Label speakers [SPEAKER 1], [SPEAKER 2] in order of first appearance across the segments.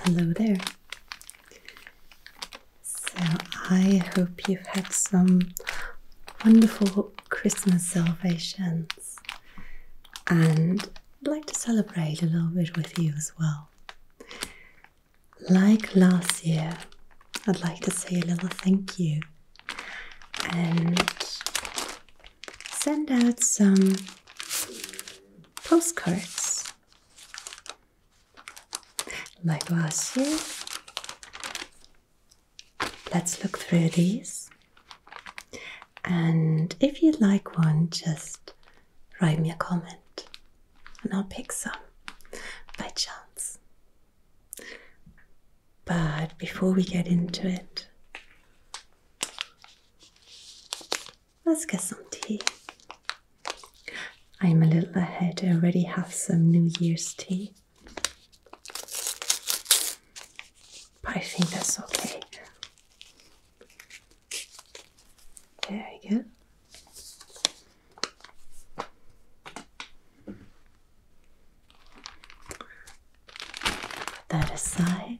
[SPEAKER 1] Hello there. So, I hope you've had some wonderful Christmas celebrations and I'd like to celebrate a little bit with you as well. Like last year, I'd like to say a little thank you and send out some postcards. Like last year. Let's look through these. And if you like one, just write me a comment and I'll pick some by chance. But before we get into it, Let's get some tea. I'm a little ahead, I already have some New Year's tea. But I think that's okay. There you go. Put that aside.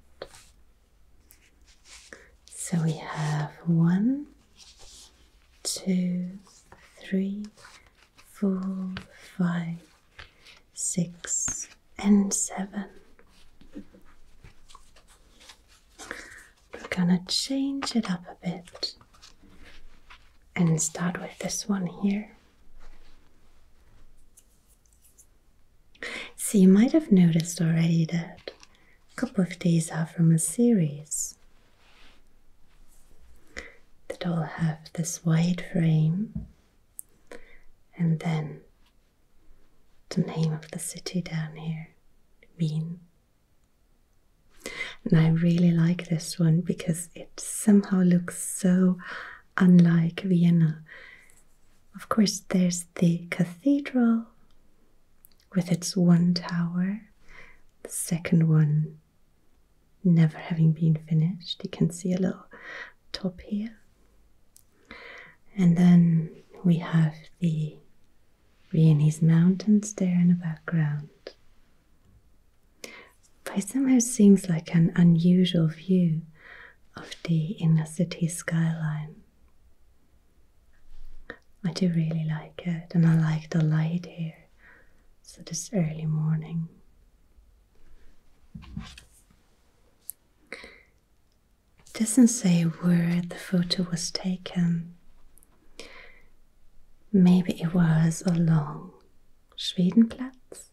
[SPEAKER 1] So we have one, two, three, four, five, six, and seven. We're gonna change it up a bit and start with this one here. So, you might have noticed already that a couple of these are from a series that all have this white frame and then the name of the city down here, Wien. And I really like this one because it somehow looks so unlike Vienna. Of course, there's the cathedral with its one tower, the second one never having been finished. You can see a little top here. And then we have the Viennese mountains there in the background. But it somehow seems like an unusual view of the inner city skyline. I do really like it, and I like the light here. So, this early morning. doesn't say where the photo was taken. Maybe it was along Schwedenplatz.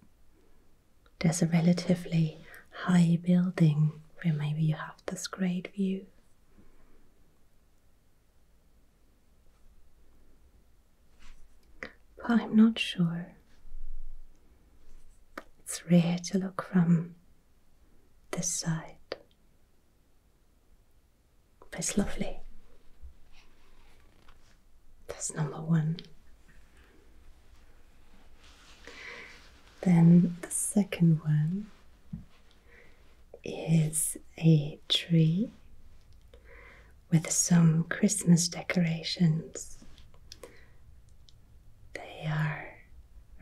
[SPEAKER 1] There's a relatively high building where maybe you have this great view. But I'm not sure. It's rare to look from this side. But it's lovely. That's number one. Then the second one is a tree with some Christmas decorations. They are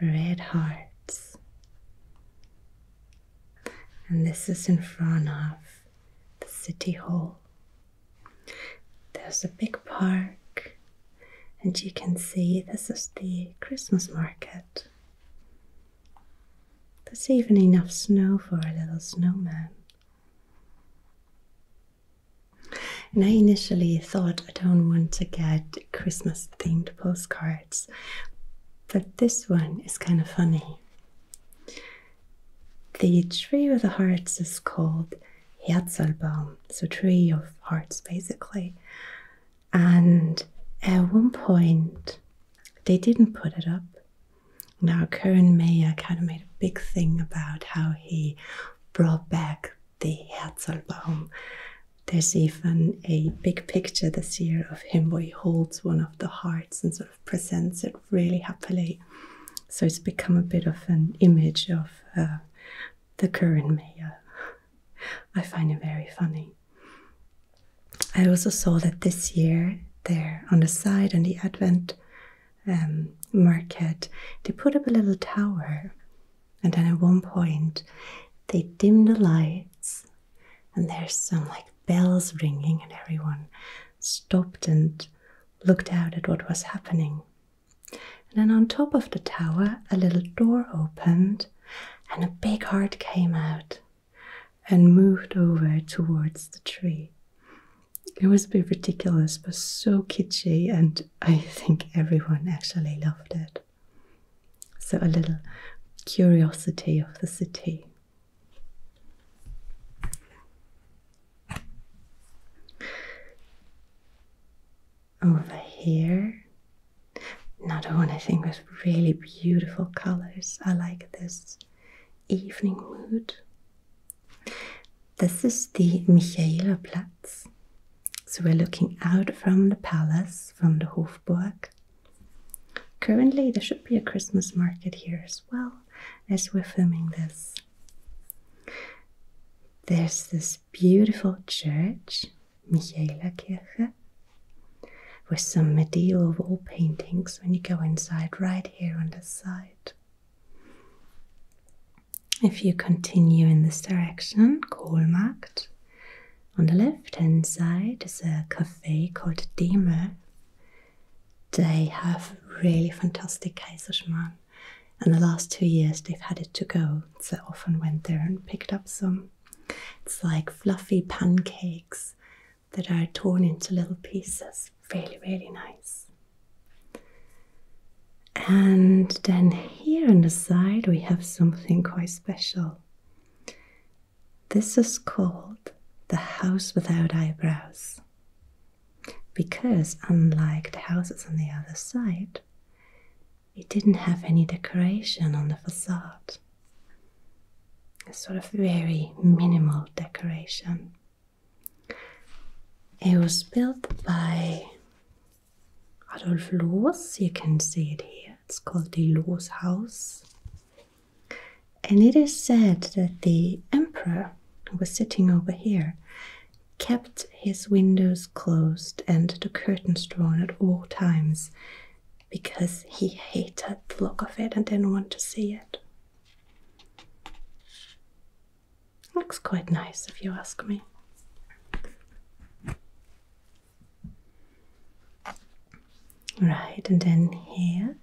[SPEAKER 1] red hearts. And this is in front of the City Hall. There's a big park and you can see this is the Christmas market. There's even enough snow for a little snowman. And I initially thought I don't want to get Christmas themed postcards, but this one is kind of funny. The tree with the hearts is called Herzlbaum, so tree of hearts basically. And at one point, they didn't put it up. Now, Kern Mayer kind of made a big thing about how he brought back the Herzlbaum. There's even a big picture this year of him where he holds one of the hearts and sort of presents it really happily. So it's become a bit of an image of uh, the Kern Mayer. I find it very funny. I also saw that this year, there on the side, on the Advent um, market, they put up a little tower. And then at one point, they dimmed the lights, and there's some like bells ringing, and everyone stopped and looked out at what was happening. And then on top of the tower, a little door opened, and a big heart came out and moved over towards the tree. It was a bit ridiculous, but so kitschy, and I think everyone actually loved it. So, a little curiosity of the city over here. Another one I think with really beautiful colors. I like this evening mood. This is the Michaelerplatz. So we're looking out from the palace, from the Hofburg. Currently, there should be a Christmas market here as well as we're filming this. There's this beautiful church, Kirche, with some medieval wall paintings when you go inside, right here on the side. If you continue in this direction, Kohlmarkt, on the left hand side is a cafe called Demel. They have really fantastic Kaiserschmarrn. And the last two years they've had it to go, so I often went there and picked up some. It's like fluffy pancakes that are torn into little pieces. Really, really nice. And then here on the side, we have something quite special. This is called the house without eyebrows. Because, unlike the houses on the other side, it didn't have any decoration on the facade. A sort of very minimal decoration. It was built by Adolf Loos. You can see it here. It's called the Loos House. And it is said that the emperor who was sitting over here kept his windows closed and the curtains drawn at all times because he hated the look of it and didn't want to see it. Looks quite nice if you ask me. Right, and then here,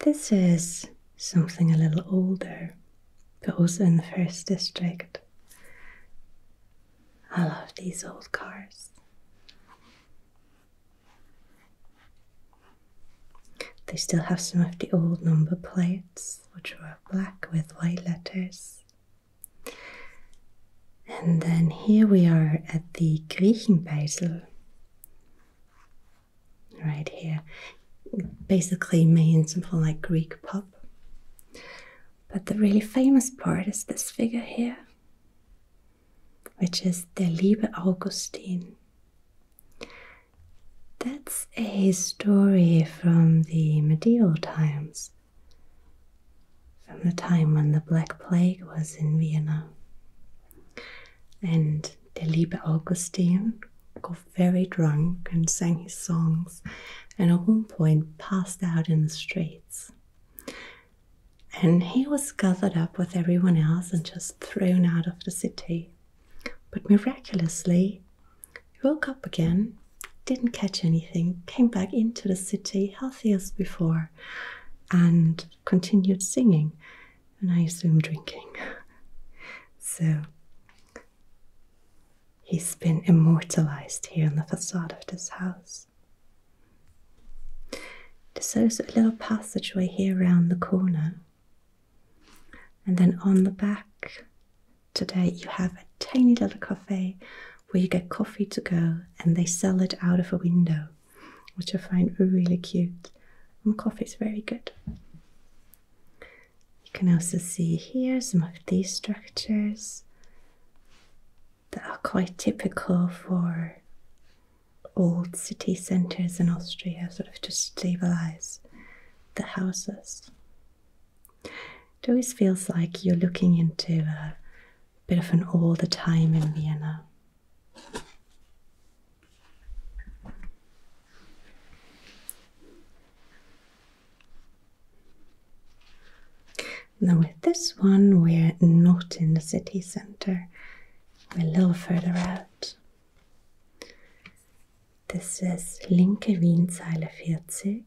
[SPEAKER 1] this is something a little older, but also in the first district. I love these old cars. They still have some of the old number plates, which were black with white letters. And then here we are at the Griechenbasel. Right here. Basically means something like Greek pub. But the really famous part is this figure here, which is Der Liebe Augustin. That's a story from the medieval times, from the time when the Black Plague was in Vienna. And Der Liebe Augustin got very drunk and sang his songs, and at one point passed out in the street. And he was gathered up with everyone else and just thrown out of the city. But miraculously, he woke up again, didn't catch anything, came back into the city healthy as before, and continued singing, and I assume drinking. so he's been immortalized here on the facade of this house. There's also a little passageway here around the corner. And then on the back today, you have a tiny little cafe where you get coffee to go and they sell it out of a window, which I find really cute. And coffee is very good. You can also see here some of these structures that are quite typical for old city centres in Austria, sort of to stabilise the houses. It always feels like you're looking into a bit of an older time in Vienna. Now, with this one, we're not in the city center, a little further out. This is Linke Wienzeile 40.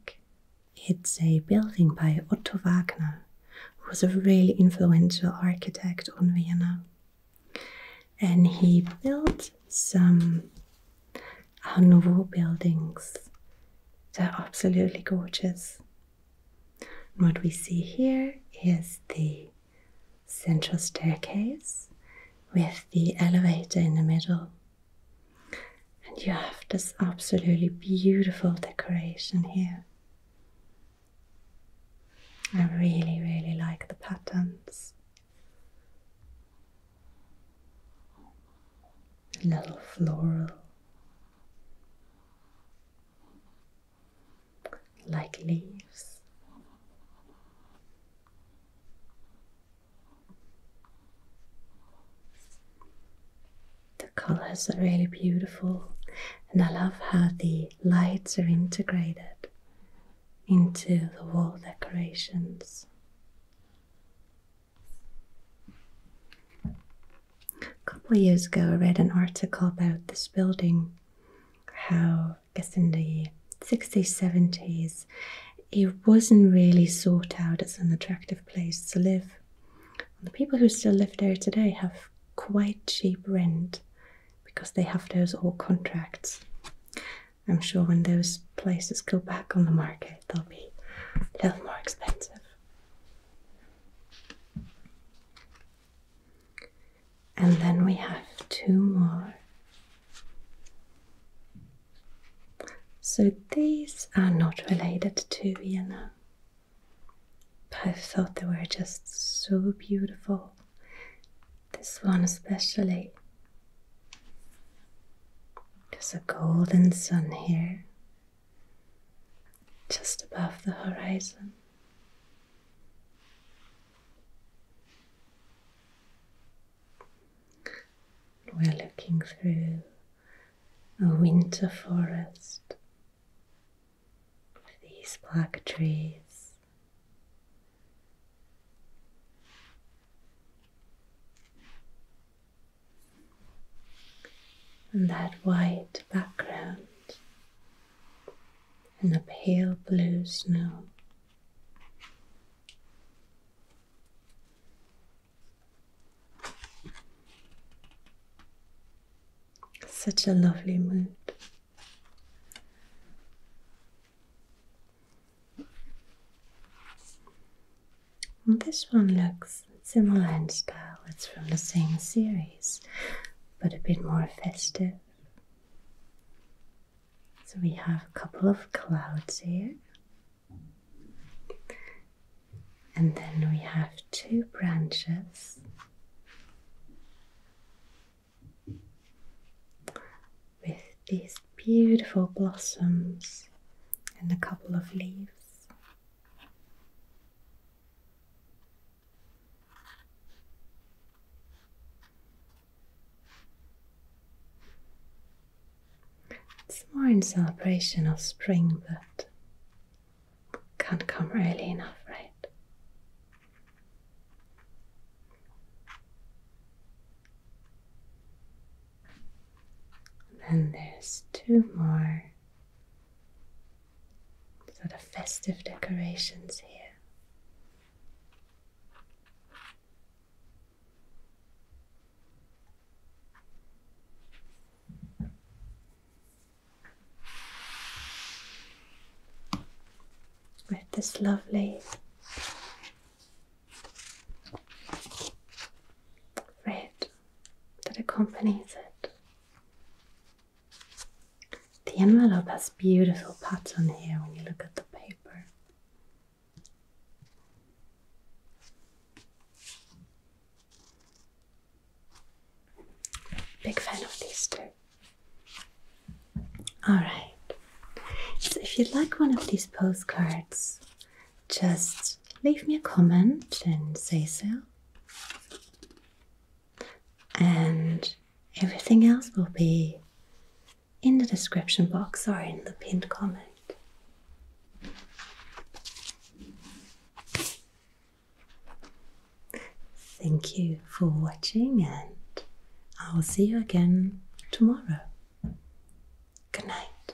[SPEAKER 1] It's a building by Otto Wagner, who was a really influential architect on Vienna. And he built some Art Nouveau buildings they're absolutely gorgeous. And what we see here is the central staircase with the elevator in the middle. And you have this absolutely beautiful decoration here. I really, really like the patterns. little floral like leaves. The colors are really beautiful, and I love how the lights are integrated into the wall decorations. A couple of years ago, I read an article about this building, how I guess in the 60s, 70s, it wasn't really sought out as an attractive place to live. the people who still live there today have quite cheap rent because they have those old contracts. I'm sure when those places go back on the market, they'll be a little more expensive. And then we have two more. So these are not related to Vienna. But I thought they were just so beautiful. This one especially. There's a golden sun here just above the horizon. We're looking through a winter forest with these black trees and that white background and the pale blue snow. Such a lovely mood this one looks similar in style, it's from the same series, but a bit more festive. So we have a couple of clouds here. And then we have two branches with these beautiful blossoms and a couple of leaves. It's more in celebration of spring, but can't come early enough, right? then there's two more Sort of festive decorations here. With this lovely red that accompanies it. The envelope has beautiful patterns here when you look at the paper. Big fan of these two. Alright, so if you'd like one of these postcards, just leave me a comment and say so. And everything else will be in the description box or in the pinned comment. Thank you for watching, and I will see you again tomorrow. Good night.